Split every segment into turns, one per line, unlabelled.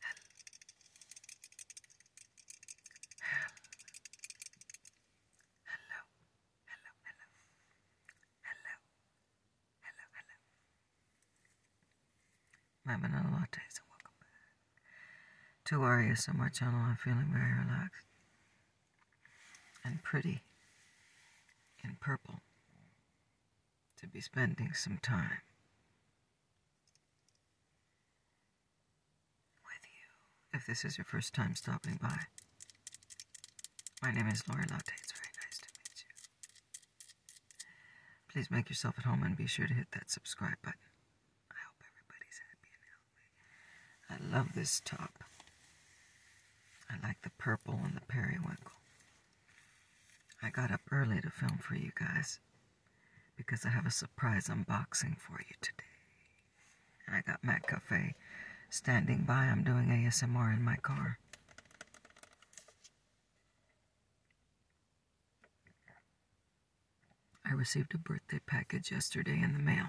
Hell. Hell. Hello, hello, hello, hello, hello, hello. My Manila Lattes and welcome back to our ASMR channel. I'm feeling very relaxed and pretty and purple to be spending some time with you if this is your first time stopping by. My name is Lori Latte. It's very nice to meet you. Please make yourself at home and be sure to hit that subscribe button. I hope everybody's happy I love this top. I like the purple and the periwinkle. I got up early to film for you guys because I have a surprise unboxing for you today. And I got Matt Cafe standing by. I'm doing ASMR in my car. I received a birthday package yesterday in the mail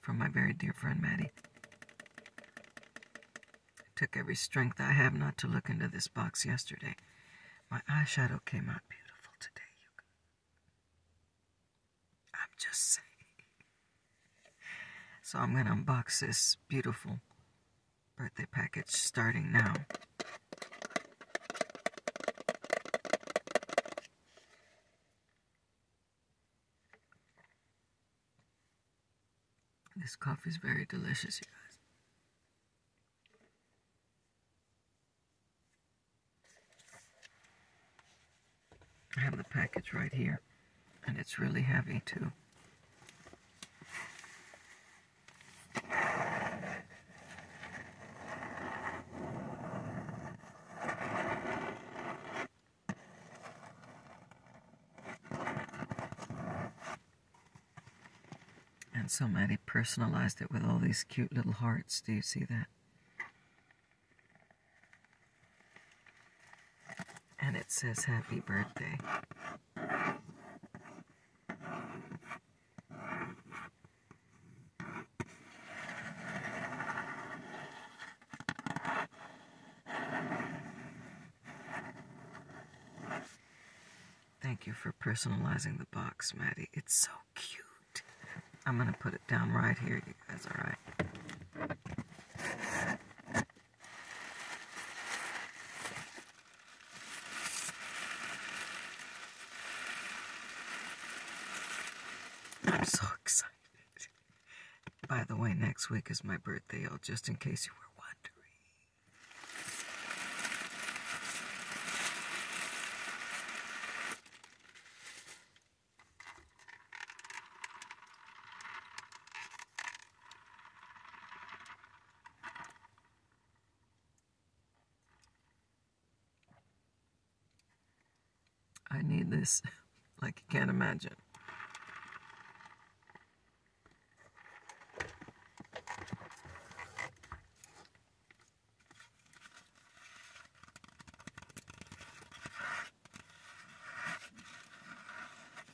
from my very dear friend Maddie took every strength I have not to look into this box yesterday. My eyeshadow came out beautiful today. I'm just saying. So I'm going to unbox this beautiful birthday package starting now. This coffee is very delicious, you guys. I have the package right here, and it's really heavy too. And so somebody personalized it with all these cute little hearts. Do you see that? And it says happy birthday. Thank you for personalizing the box, Maddie. It's so cute. I'm going to put it down right here, you guys, all right? I'm so excited. By the way, next week is my birthday, y'all, just in case you were wondering. I need this. like you can't imagine.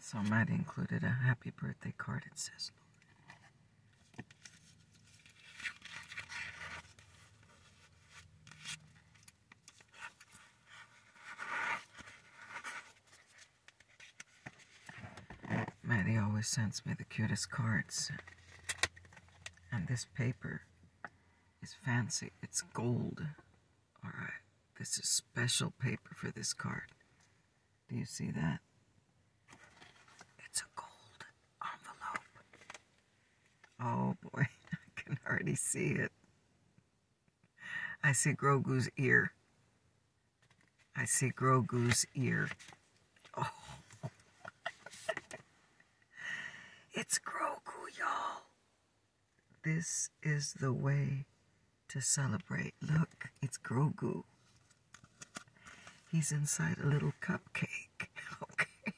So Matt included a happy birthday card. It says, Maddie always sends me the cutest cards. And this paper is fancy. It's gold. Alright, this is special paper for this card. Do you see that? It's a gold envelope. Oh boy, I can already see it. I see Grogu's ear. I see Grogu's ear. Oh. it's Grogu, y'all. This is the way to celebrate. Look, it's Grogu. He's inside a little cupcake. Okay.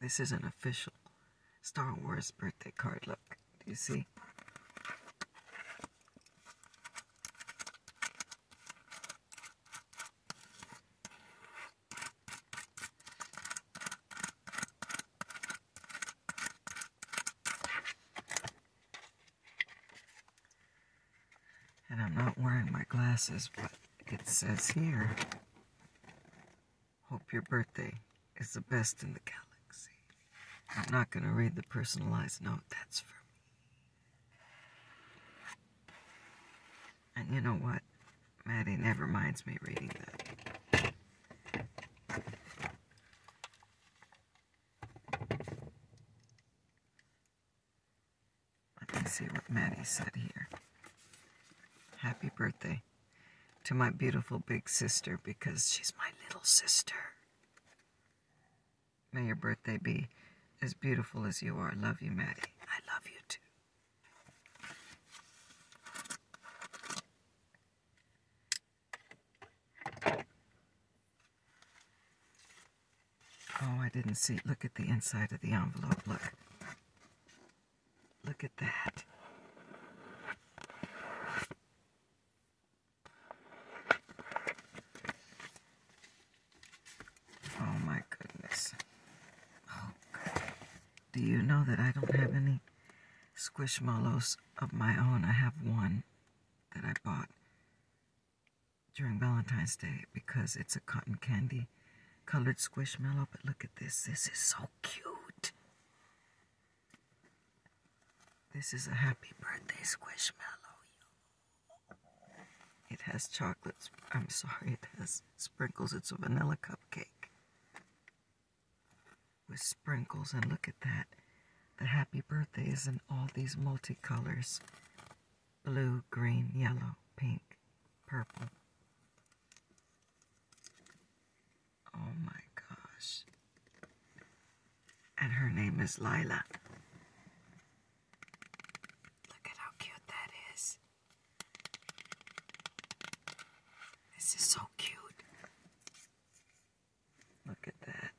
This is an official Star Wars birthday card. Look, do you see? And I'm not wearing my glasses, but it says here, hope your birthday is the best in the galaxy. I'm not going to read the personalized note, that's for me. And you know what? Maddie never minds me reading that. Let me see what Maddie said here. Happy birthday to my beautiful big sister because she's my little sister. May your birthday be as beautiful as you are. Love you, Maddie. I love you too. Oh, I didn't see. Look at the inside of the envelope. Look. Look at that. Oh my goodness. Oh Do you know that I don't have any squishmallows of my own? I have one that I bought during Valentine's Day because it's a cotton candy colored squishmallow. But look at this. This is so cute. This is a happy birthday squishmallow. It has chocolates. I'm sorry, it has sprinkles. It's a vanilla cupcake with sprinkles. And look at that. The happy birthday is in all these multicolors blue, green, yellow, pink, purple. Oh my gosh. And her name is Lila. Look at how cute that is. This is so cute. Look at that.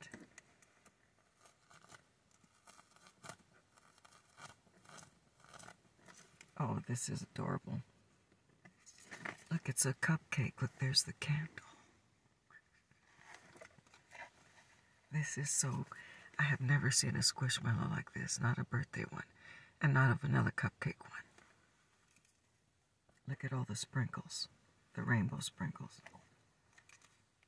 Oh, this is adorable. Look, it's a cupcake. Look, there's the candle. This is so... I have never seen a squishmallow like this. Not a birthday one. And not a vanilla cupcake one. Look at all the sprinkles. The rainbow sprinkles.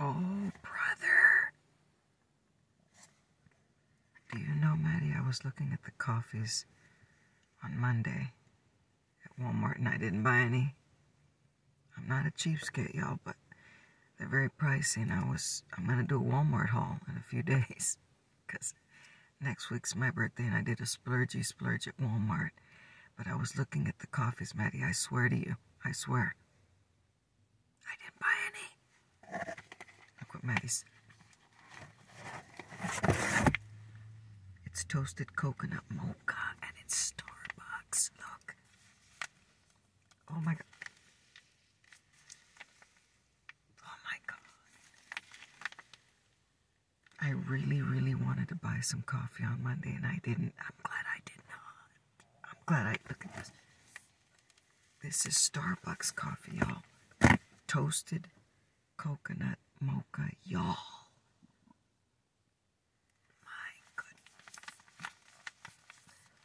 Oh, brother. Do you know, Maddie, I was looking at the coffees on Monday at Walmart and I didn't buy any. I'm not a cheapskate, y'all, but they're very pricey and I was, I'm going to do a Walmart haul in a few days because next week's my birthday and I did a splurgy splurge at Walmart. But I was looking at the coffees, Maddie, I swear to you. I swear. I didn't buy any. Look what Maddie's. It's toasted coconut mocha and it's Starbucks. Look. Oh my god. Oh my god. I really, really wanted to buy some coffee on Monday and I didn't. I'm glad I did not. I'm glad I look at this. This is Starbucks coffee, y'all. Toasted coconut mocha, y'all. My goodness.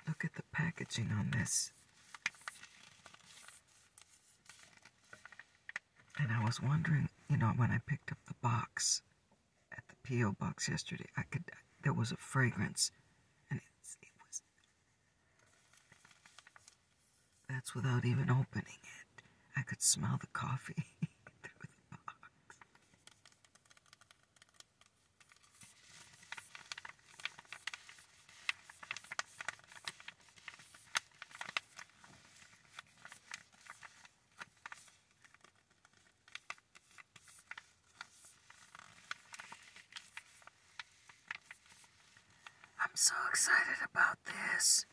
Look at the packaging on this. And I was wondering, you know, when I picked up the box, at the P.O. box yesterday. I could there was a fragrance and it's, it was that's without even opening it. I could smell the coffee through the box. I'm so excited about this.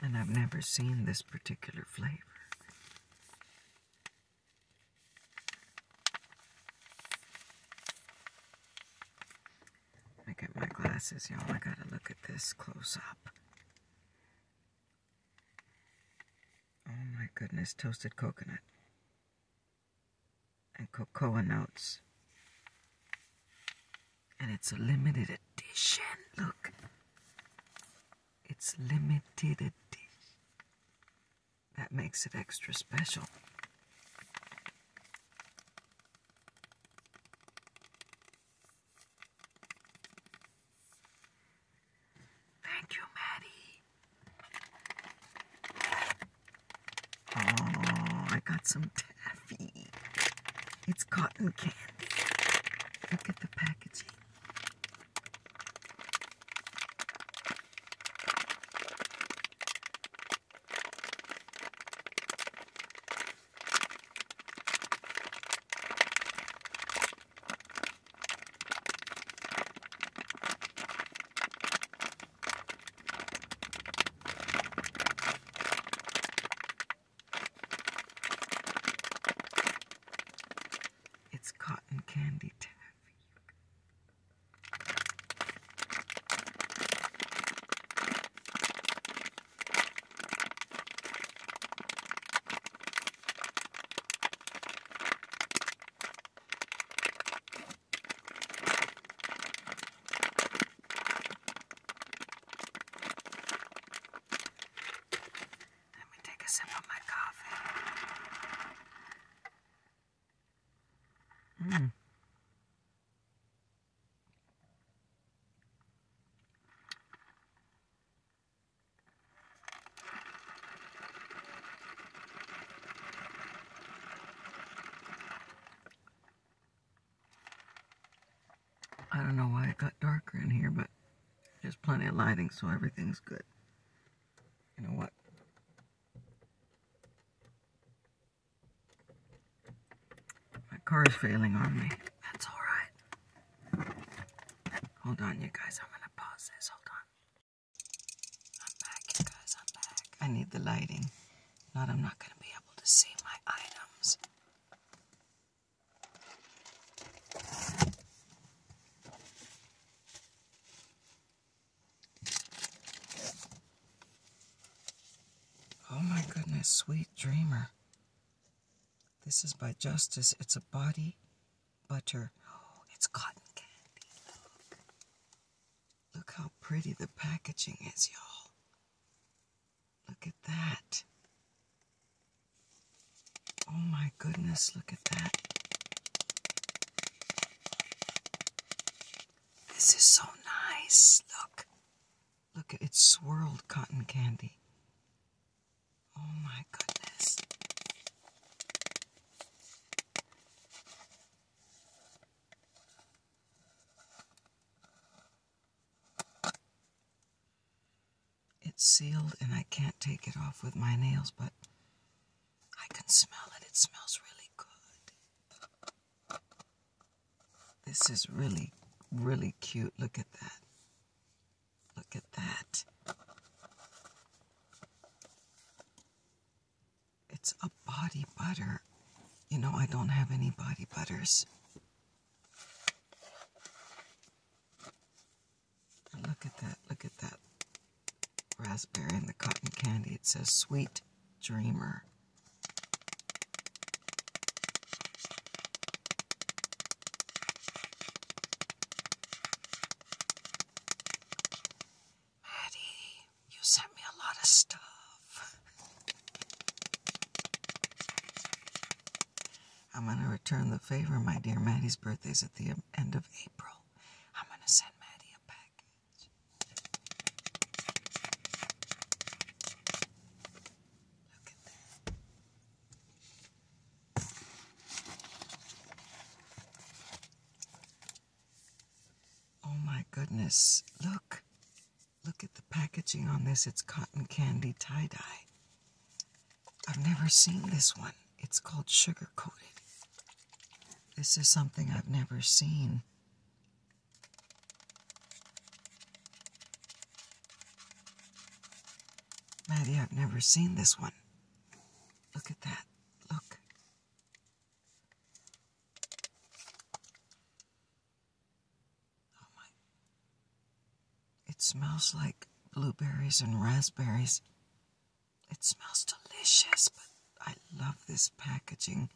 And I've never seen this particular flavor. I get my glasses, y'all. I gotta look at this close up. Oh my goodness, toasted coconut and cocoa notes. And it's a limited edition. Look. It's limited edition. That makes it extra special. Thank you, Maddie. Oh, I got some taffy. It's cotton candy. Look at the packaging. It's cotton candy tag. Let me take a sip of my coffee. Mm. I don't know why it got darker in here, but there's plenty of lighting, so everything's good. You know what? My car is failing on me. That's all right. Hold on, you guys. I'm gonna pause this. Hold on. I'm back, you guys. I'm back. I need the lighting. Not, I'm not gonna be able to see my items. Oh my goodness, Sweet Dreamer. This is by Justice. It's a body butter. Oh, it's cotton candy. Look. Look how pretty the packaging is, y'all. Look at that. Oh my goodness, look at that. This is so nice. Look. Look, it's swirled cotton candy. Oh my goodness. It's sealed and I can't take it off with my nails, but I can smell it. It smells really good. This is really, really cute. Look at that. Look at that. It's a body butter. You know, I don't have any body butters. look at that. Look at that raspberry and the cotton candy. It says Sweet Dreamer. Maddie, you sent me a lot of stuff. I'm going to return the favor, my dear. Maddie's birthday's at the end of April. I'm going to send Maddie a package. Oh my goodness, look. Look at the packaging on this. It's cotton candy tie dye. I've never seen this one. It's called sugar coated. This is something I've never seen. Maddie, I've never seen this one. Look at that. Look. Oh my. It smells like blueberries and raspberries. It smells delicious, but I love this packaging.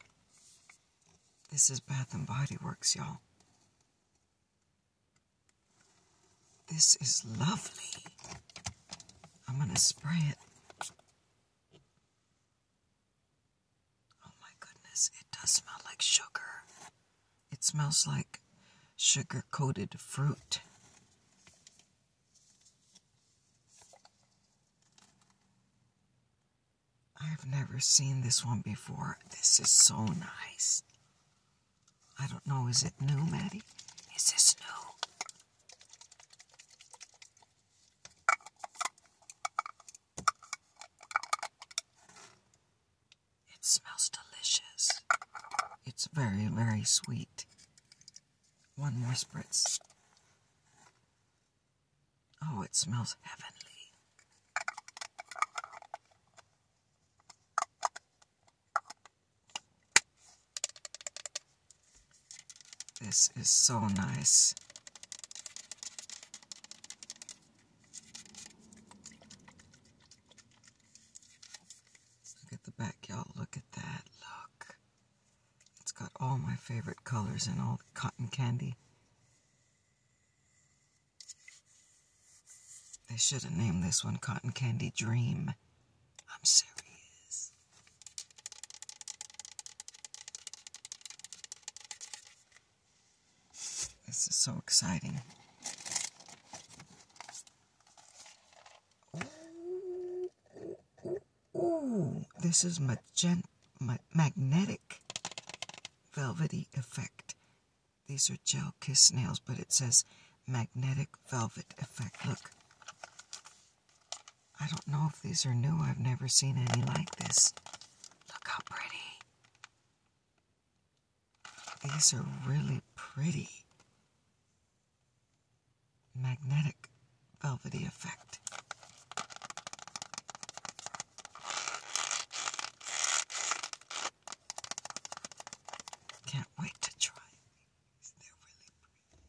This is Bath and Body Works, y'all. This is lovely. I'm going to spray it. Oh my goodness, it does smell like sugar. It smells like sugar coated fruit. I've never seen this one before. This is so nice. I don't know, is it new, Maddie? Is this new? It smells delicious. It's very, very sweet. One more spritz. Oh, it smells heavenly. This is so nice. Look at the back, Look at that. Look. It's got all my favorite colors and all the cotton candy. They should have named this one Cotton Candy Dream. I'm serious. This is so exciting. Ooh, this is magent, ma magnetic velvety effect. These are gel kiss nails, but it says magnetic velvet effect. Look. I don't know if these are new. I've never seen any like this. Look how pretty. These are really pretty magnetic velvety effect. Can't wait to try these. they really pretty.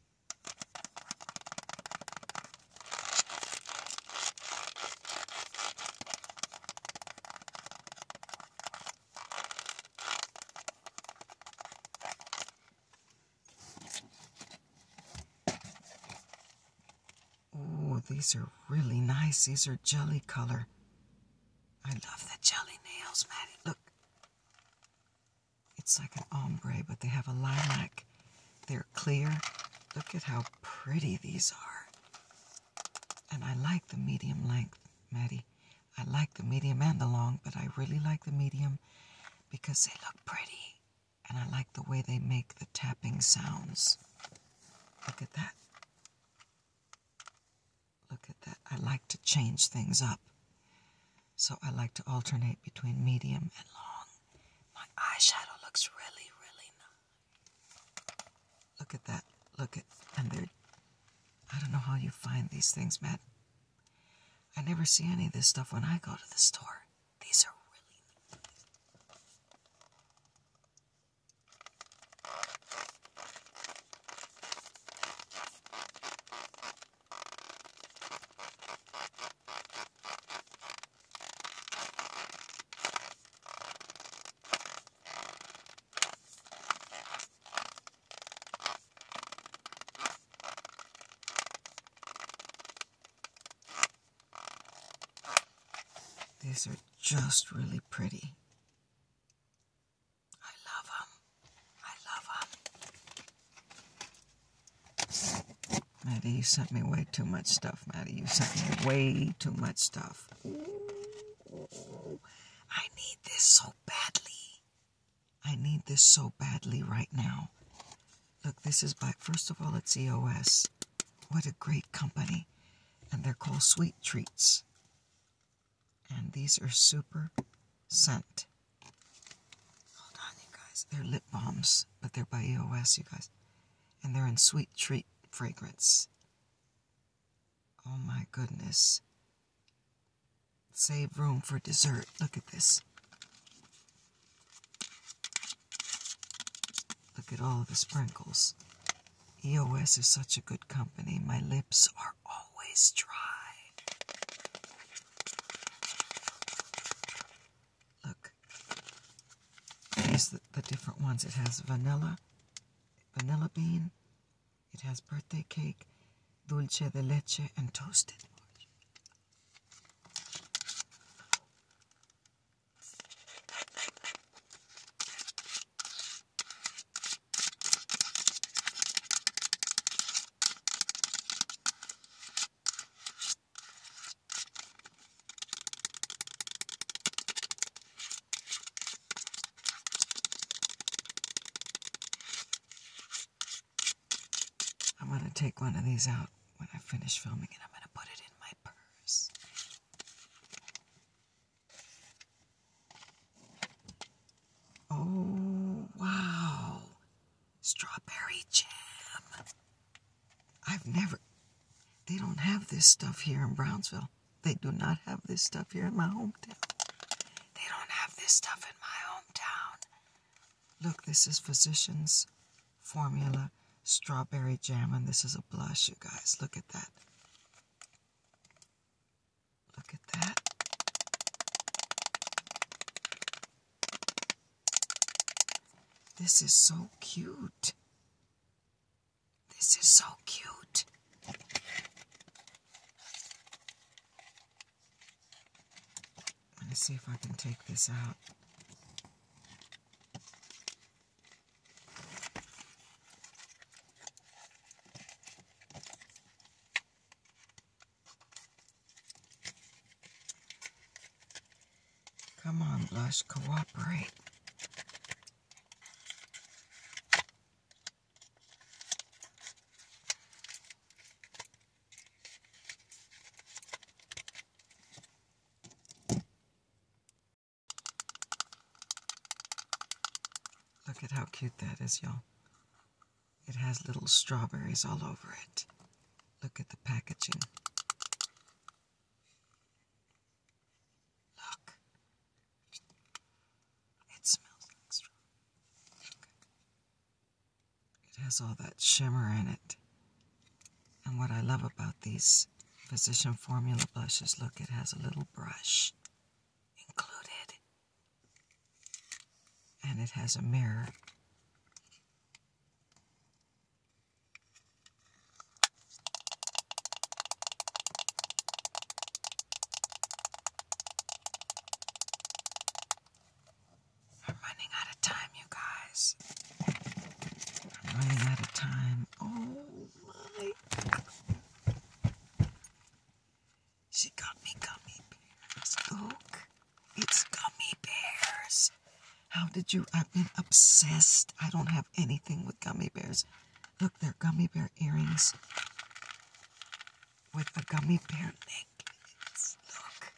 Oh, these are really nice. These are jelly color. I love the jelly nails, Maddie. Look. It's like an ombre, but they have a lilac. They're clear. Look at how pretty these are. And I like the medium length, Maddie. I like the medium and the long, but I really like the medium because they look pretty. And I like the way they make the tapping sounds. Look at that. Look at that. I like to change things up. So I like to alternate between medium and long. My eyeshadow looks really, really nice. Look at that. Look at, and they're, I don't know how you find these things, Matt. I never see any of this stuff when I go to the store. These are really. These are just really pretty. I love them. I love them. Maddie, you sent me way too much stuff, Maddie. You sent me way too much stuff. I need this so badly. I need this so badly right now. Look, this is by, first of all, it's EOS. What a great company. And they're called Sweet Treats. And these are super scent. Hold on, you guys. They're lip balms, but they're by EOS, you guys. And they're in Sweet Treat fragrance. Oh my goodness. Save room for dessert. Look at this. Look at all the sprinkles. EOS is such a good company. My lips are always dry. Look. These the different ones. It has vanilla, vanilla bean, it has birthday cake, dulce de leche, and toasted orange. I'm going to take one of these out when I finish filming and I'm going to put it in my purse. Oh, wow. Strawberry jam. I've never, they don't have this stuff here in Brownsville. They do not have this stuff here in my hometown. They don't have this stuff in my hometown. Look, this is Physicians Formula Strawberry Jam, and this is a blush, you guys. Look at that. Look at that. This is so cute. This is so cute. Let us see if I can take this out. Come on, let's cooperate. Look at how cute that is, y'all. It has little strawberries all over it. Look at the packaging. Look. It smells like straw. Okay. It has all that shimmer in it. And what I love about these Physician Formula blushes, look, it has a little brush included. And it has a mirror. I'm running out of time, you guys. I'm running out of time. Oh my. She got me gummy bears. Look, it's gummy bears. How did you? I've been obsessed. I don't have anything with gummy bears. Look, they're gummy bear earrings with a gummy bear necklace. Look.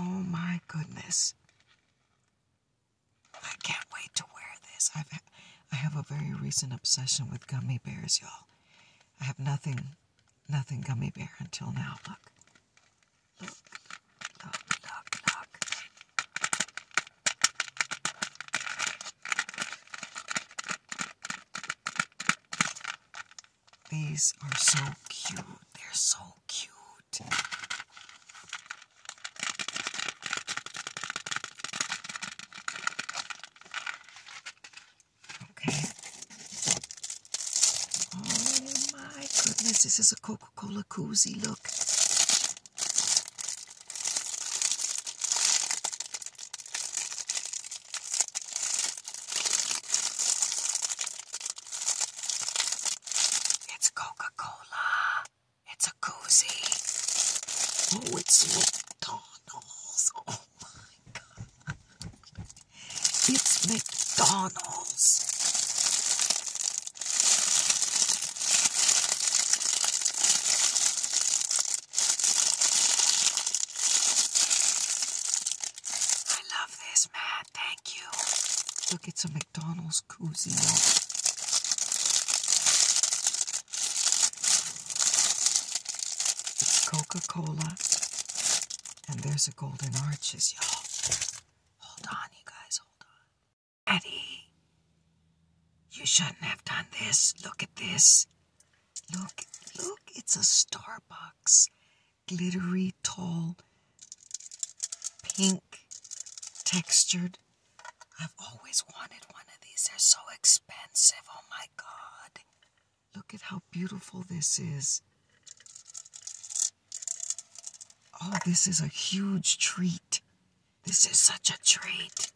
Oh my goodness. I can't wait to wear this. I've I have a very recent obsession with gummy bears, y'all. I have nothing nothing gummy bear until now. Look. Look. These are so cute. They're so cute. Okay. Oh my goodness, this is a Coca Cola koozie. Look. It's Coca Cola. It's a koozie. Oh, it's McDonald's. Oh my god. It's McDonald's. I love this, Matt. Thank you. Look, it's a McDonald's koozie. It's Coca Cola. And there's a Golden Arches, y'all. Hold on, you guys, hold on. Eddie, you shouldn't have done this. Look at this. Look, look, it's a Starbucks. Glittery, tall, pink, textured. I've always wanted one of these. They're so expensive. Oh my god. Look at how beautiful this is. Oh, this is a huge treat. This is such a treat.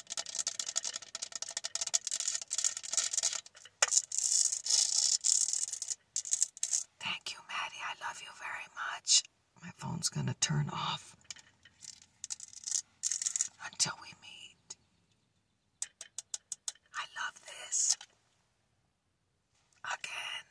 Thank you, Maddie. I love you very much. My phone's going to turn off until we meet. I love this. Again,